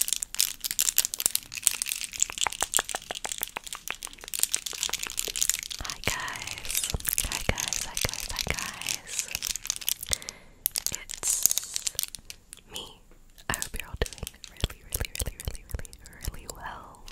Hi guys, hi guys, hi guys, hi guys. It's me. I hope you're all doing really, really, really, really, really, really well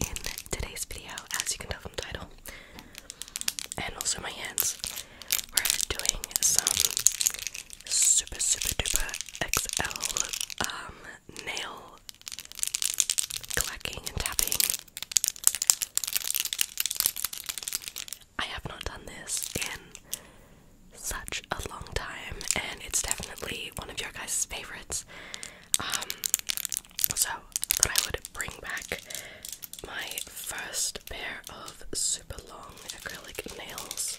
in today's video, as you can tell from the title, and also my hands. We're doing some super super duper XL um nail clacking and tapping. I have not done this in such a long time and it's definitely one of your guys' favorites. Um so that I would bring back my first pair of super long acrylic nails.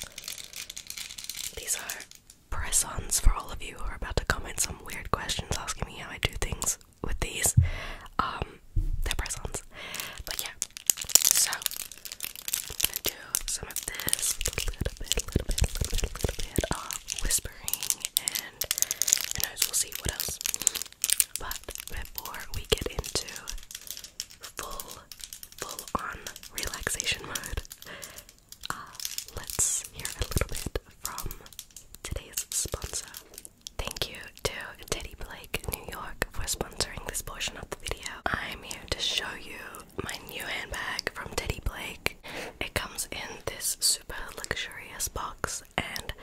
These are press ons for all of you who are about to comment some weird questions asking me how I do things with these. Um, they're press ons. But yeah, so I'm gonna do some of this little bit, little bit, little bit, little bit of whispering, and who knows, we'll see what else. But before we get into full, full on relaxation mode. Uh, let's hear a little bit from today's sponsor. Thank you to Teddy Blake New York for sponsoring this portion of the video. I'm here to show you my new handbag from Teddy Blake. It comes in this super luxurious box, and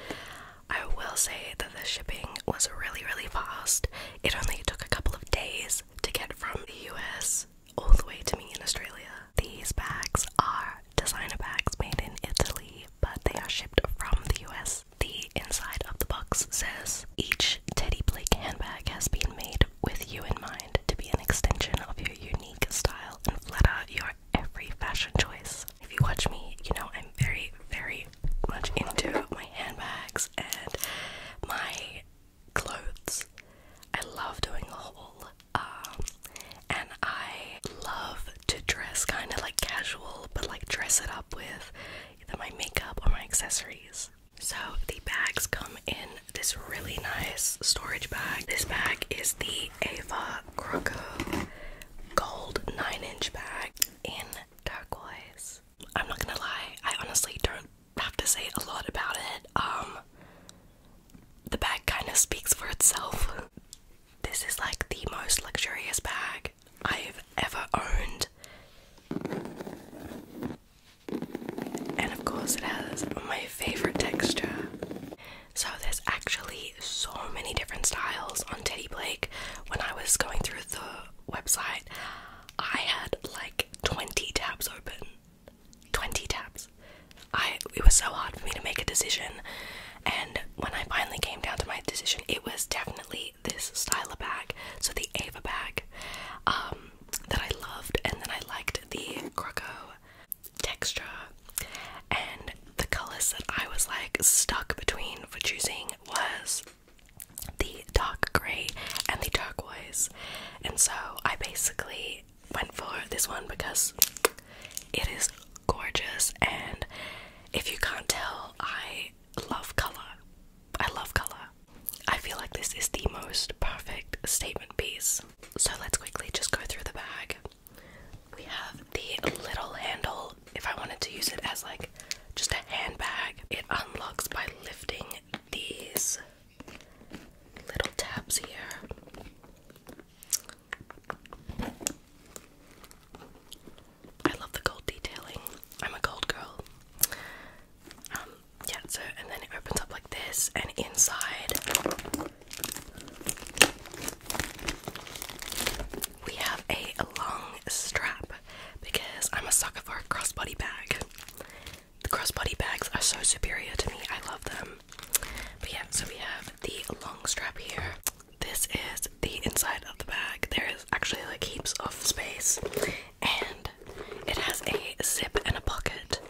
I will say that the shipping was really, really fast. It only took a couple of days to get from the US all the way to me in Australia. These bags are designer bags made in Italy, but they are shipped from the US. The inside of the box says each Teddy Blake handbag has been made with you in mind to be an extension of your unique style and flatter your every fashion choice. If you watch me, you know I'm very, very much into my handbags and my clothes. I love doing the haul, um, and I love to dress kind of like casual, but like dress it up with either my makeup or my accessories. So the bags come in this really nice storage bag. This bag is the Ava Croco Gold 9 inch bag in turquoise. I'm not gonna lie, I honestly don't have to say a lot about it. Um, the bag kind of speaks for itself. This is like the most luxurious bag I've ever owned. And of course, it has my favorite texture. So, there's actually so many different styles on Teddy Blake. When I was going through the website, I had like 20 tabs open. 20 tabs. I it was so hard for me to make a decision, and when I finally came down to my decision, it was definitely this styler bag, so the Ava bag, um, that I loved, and then I liked the croco texture, and the colors that I was like stuck between for choosing was the dark grey and the turquoise. And so I basically went for this one because it is gorgeous and if you can't tell, I love color. I love color. I feel like this is the most perfect statement piece. So let's quickly just go through the bag. We have the little handle. If I wanted to use it as like just a handbag, it unlocks by lifting these little tabs here. I love the gold detailing. I'm a gold girl. Um, yeah, so and then it opens up like this, and inside we have a long strap because I'm a sucker for a crossbody bag. The crossbody bags are so superior to me, I love them. But yeah, so we have the long strap here. This is the inside of the bag. There is actually like heaps of space, and it has a zip and a pocket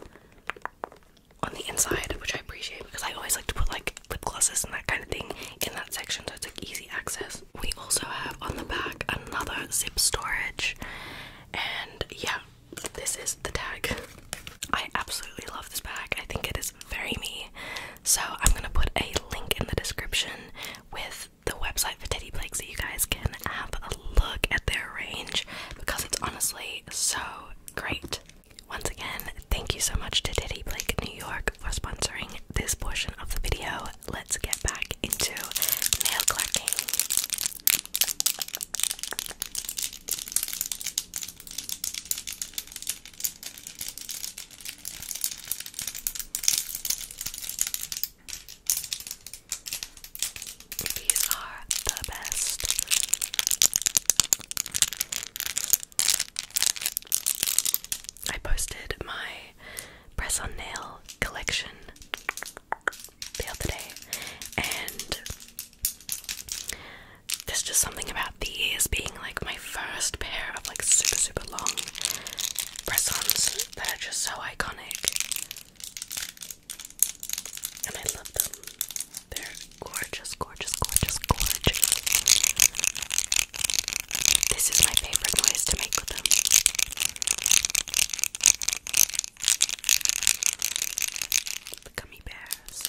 on the inside, which I appreciate because I always like to put like lip glosses and that kind of thing in that section, so it's like easy access. We also have on the back another zip storage, and yeah, this is the tag. I absolutely love this bag, I think it is very me. So, I'm gonna put a link in the description with the website for Teddy Blake so you guys can have a look at their range because it's honestly so great. Once again, thank you so much to Diddy Blake New York for sponsoring this portion of the video. Let's get back into nail clacking. These are the best. I posted my press on nail collection the other day, and there's just something about these being like my first pair of like super super long press ons that are just so iconic, and I love them. They're gorgeous, gorgeous, gorgeous, gorgeous. This is my favorite noise to make with them. gummy bears.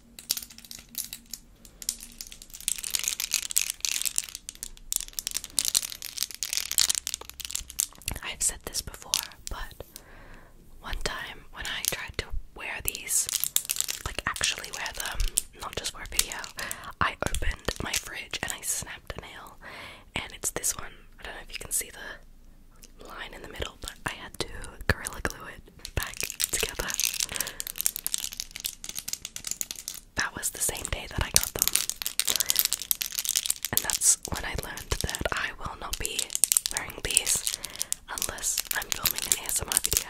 I've said this before, but one time when I tried to wear these, like actually wear them, not just wear a video, I opened my fridge and I snapped a nail, and it's this one. I don't know if you can see the line in the middle, but I had to gorilla glue it back together that was the same day that I got them. And that's when I learned that I will not be wearing these unless I'm filming an ASMR video.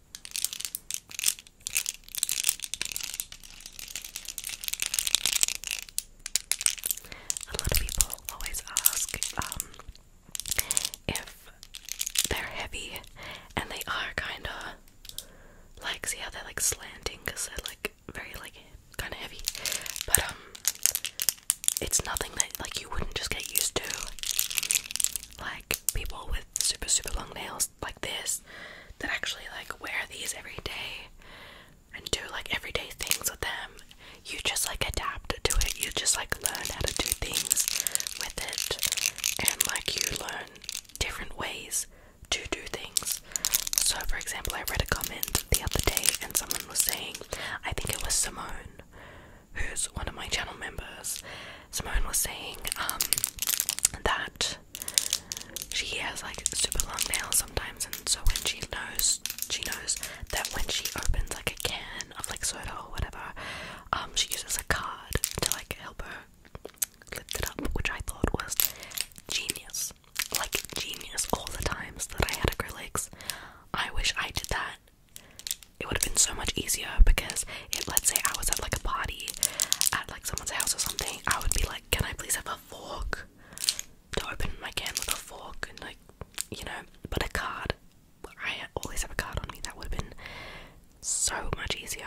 A lot of people always ask um, if they're heavy, and they are kind of like see how they're like slanting because they're like very like kind of heavy, but um, it's nothing that like you wouldn't just get used to like people with super super long nails like this that actually like wear these every day and do like everyday things with them. You just like adapt to it. You just like learn how to do things with it and like you learn different ways to do things. So for example I read a comment the other day and someone was saying I think it was Simone who's one of my channel members, Simone was saying um, that she has like super long nails sometimes, and so when she knows, she knows that when she opens like a can of like soda or whatever, um, she uses a card to like help her lift it up, which I thought was genius, like genius. All the times that I had acrylics, I wish I did that it would have been so much easier because let's say I was at like a party at like someone's house or something, I would be like, Can I please have a fork? To open my can with a fork and like you know, but a card. I always have a card on me, that would have been so much easier.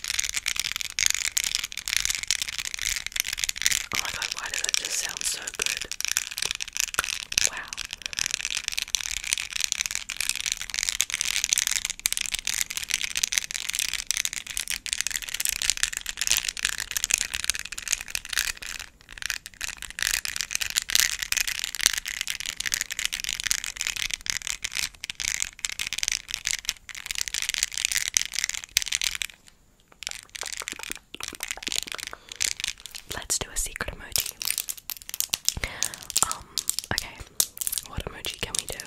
Oh my god, why does it just sound so good? Wow. Let's do a secret emoji. Um, okay. What emoji can we do?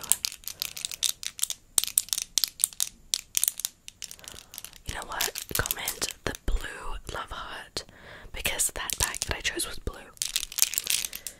You know what? Comment the blue love heart because that pack that I chose was blue.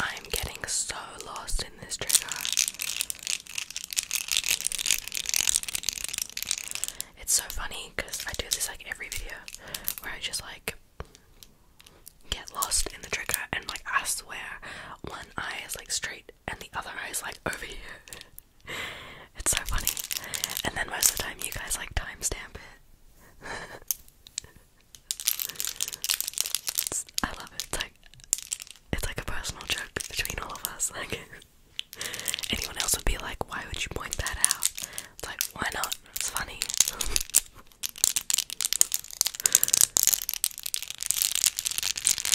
I'm getting so lost in this trigger. It's so funny because I do this like every video where I just like get lost in the trigger and like ask where one eye is like straight and the other eye is like over here. it's so funny. And then most of the time, you guys like timestamp it. I love it. It's like it's like a personal joke between all of us. Like anyone else would be like, "Why would you point that out?" It's like, "Why not? It's funny."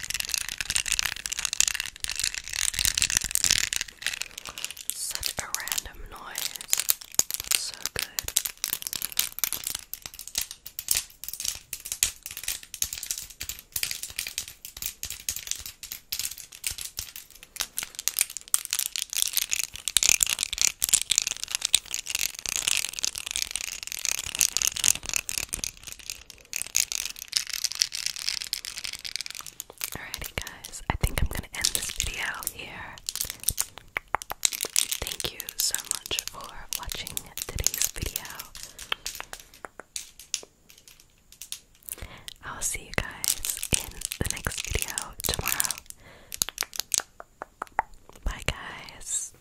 Such a random noise, but so good. Alrighty, guys, I think I'm gonna end this video here. Thank you so much for watching today's video. I'll see you guys in the next video tomorrow. Bye, guys.